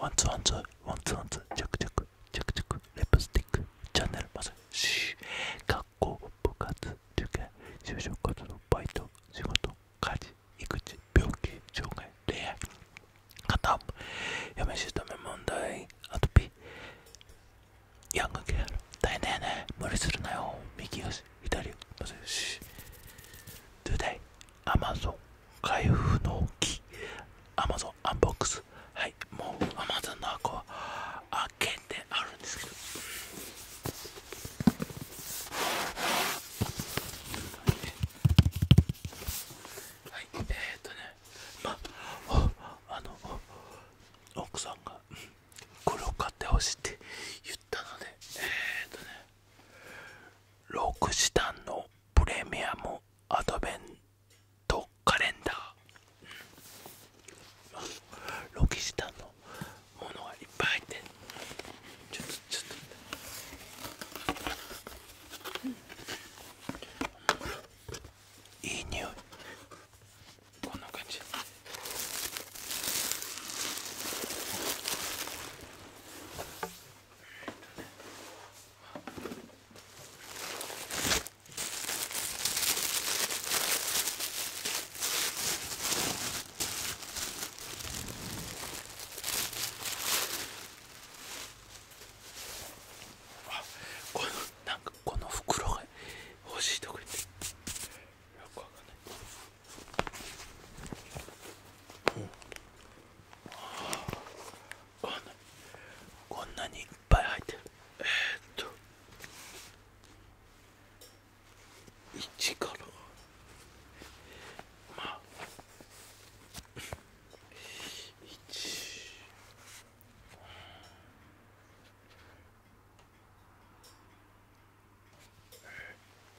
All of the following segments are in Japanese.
ワンツワンツワンツワンツチャクチャクチャクチャクレプスティックチャンネルマスシー学校部活受験就職活動バイト仕事家事育児病気障害恋愛片方嫁しとめ問題アトピーヤングケア大変だよね無理するなよ右足左足 Today Amazon 開封の木 Amazon アンボックスはいもうアマゾンの箱は開けてあるんですけどはいえっとねまあの奥さんがこれを買ってほしいって言ったのでえっとねロクシタのプレミアムアドベントカレンダーロキシタンのものがいっぱい入ってちょっとちょっと、ういい匂いこんな感じあこのかこの袋が欲しいとこ言てよくわかんない、うんこんなにいっぱい入ってるえっと1からまあ1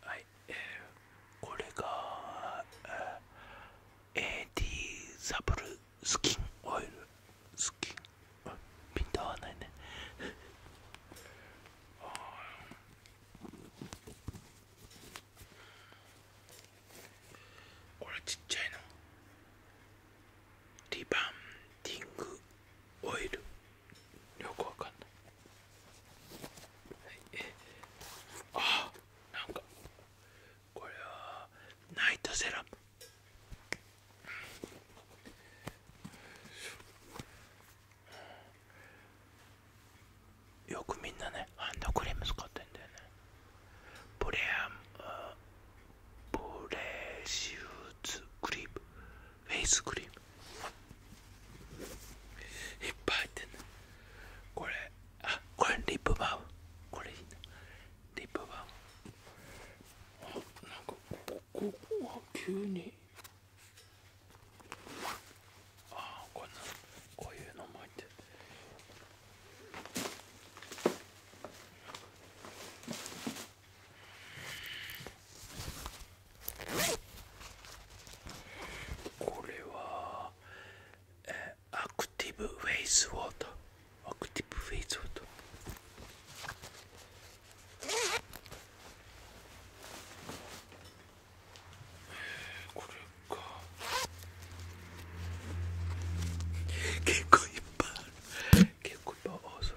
はい、えー、これが、えー、AD サブルスキンオイルスキンピント合わないねあれちっちゃいのリバンディングオイルよくわかんない、はい、あなんかこれはナイトセラムよくみんなねハンドクリーム使ってんだよねプレアムプレシューズクリームフェイスクリームいっぱい入ってる。これあこれリップバームこれいいなリップバームあなんかここは急にあこんこういうのも入ってる。これは、えー、アクティブウェイズウォーターアクティブウェイズウォーターこれか結構いっぱいある結構いっぱいあそれ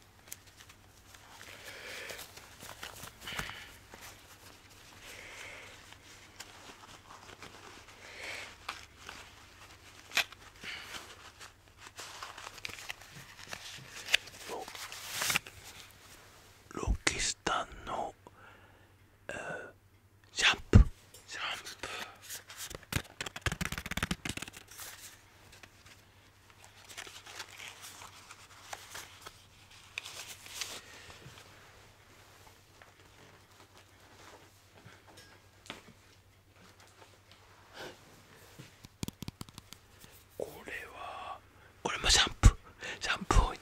ロキスタンの、えー、シャンプーシャンプーこれはこれもシャンプーシャンプー多いね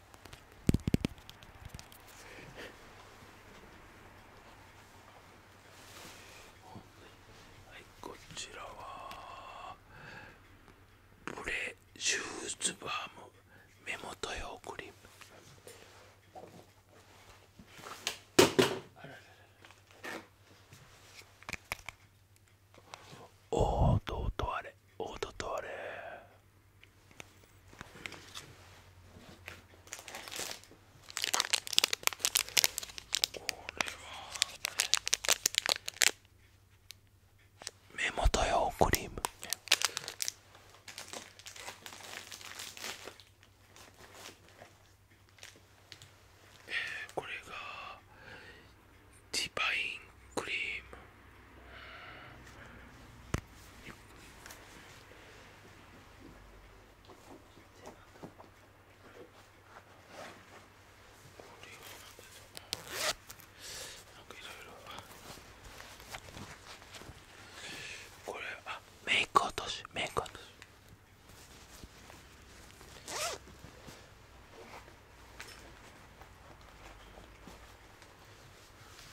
はいこちらはブレシューズバーム目元用クリームおおどうとあれおととあれこれは目元用クリームえこれがディバインクリームこれあメイク落としメイク落とし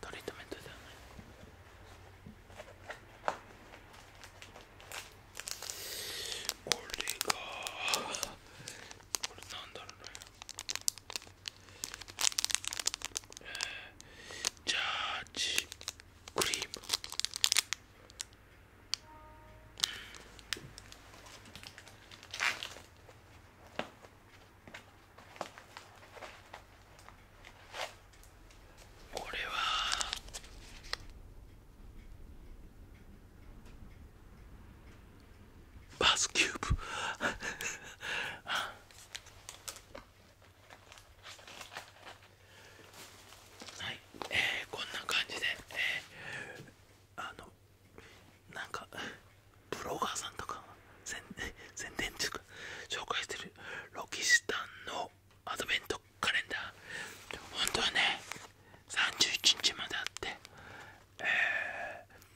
トリートメントだこれがこだろうねジャージクリームこれはバスキューブ はい、えー、こんな感じで、えー、あのなんかブロガーさんとか宣宣伝っ紹介してるロキシタンのアドベントカレンダー本当はね31日まであって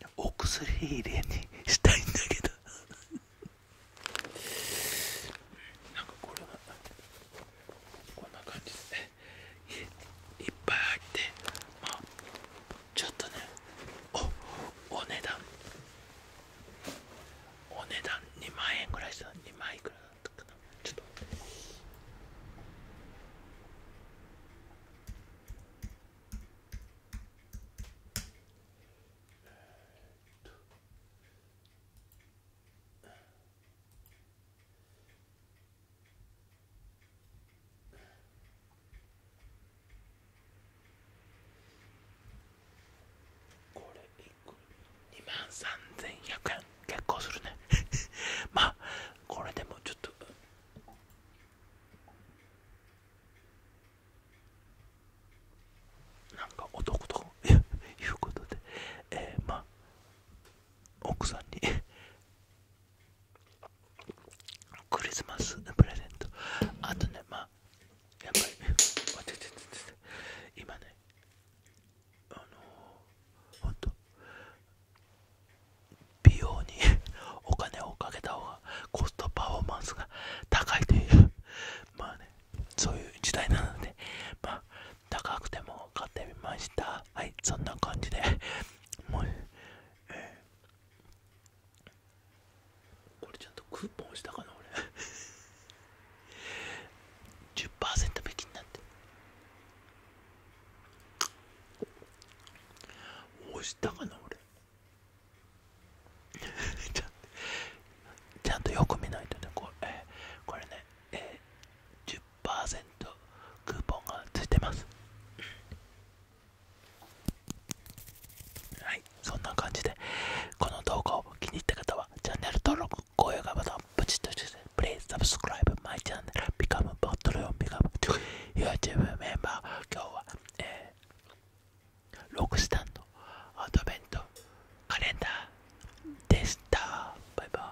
えー、お薬入れにしたいんだけどなんかこれはこんな感じでねいっぱい入ってまあちょっとねおお値段お値段2万円ぐらいすた2万いくらだったかなちょっとえこれ2万3100円結構するね まあこれでもちょっとなんか男ということで、えー、まあ奥さんにクリスマスプレゼントあとねまあやっぱり今ねあの本当。美容にお金をかけた方がコストパフォーマンスが高いというまあねそういう時代なのでまあ高くても買ってみましたはいそんな感じでもう、えこれちゃんとクーポン押したかな俺10%引きになって押したかな俺ちゃんとよく見ないとねこれ,、これね、えー、10%クーポンがついてますはいそんな感じでこの動画を気に入った方はチャンネル登録高評価ボタンをポチッとして Please subscribe my channel become p YouTube メンバー今日は、えロックスタンドアドベントカレンダーでしたバイバイ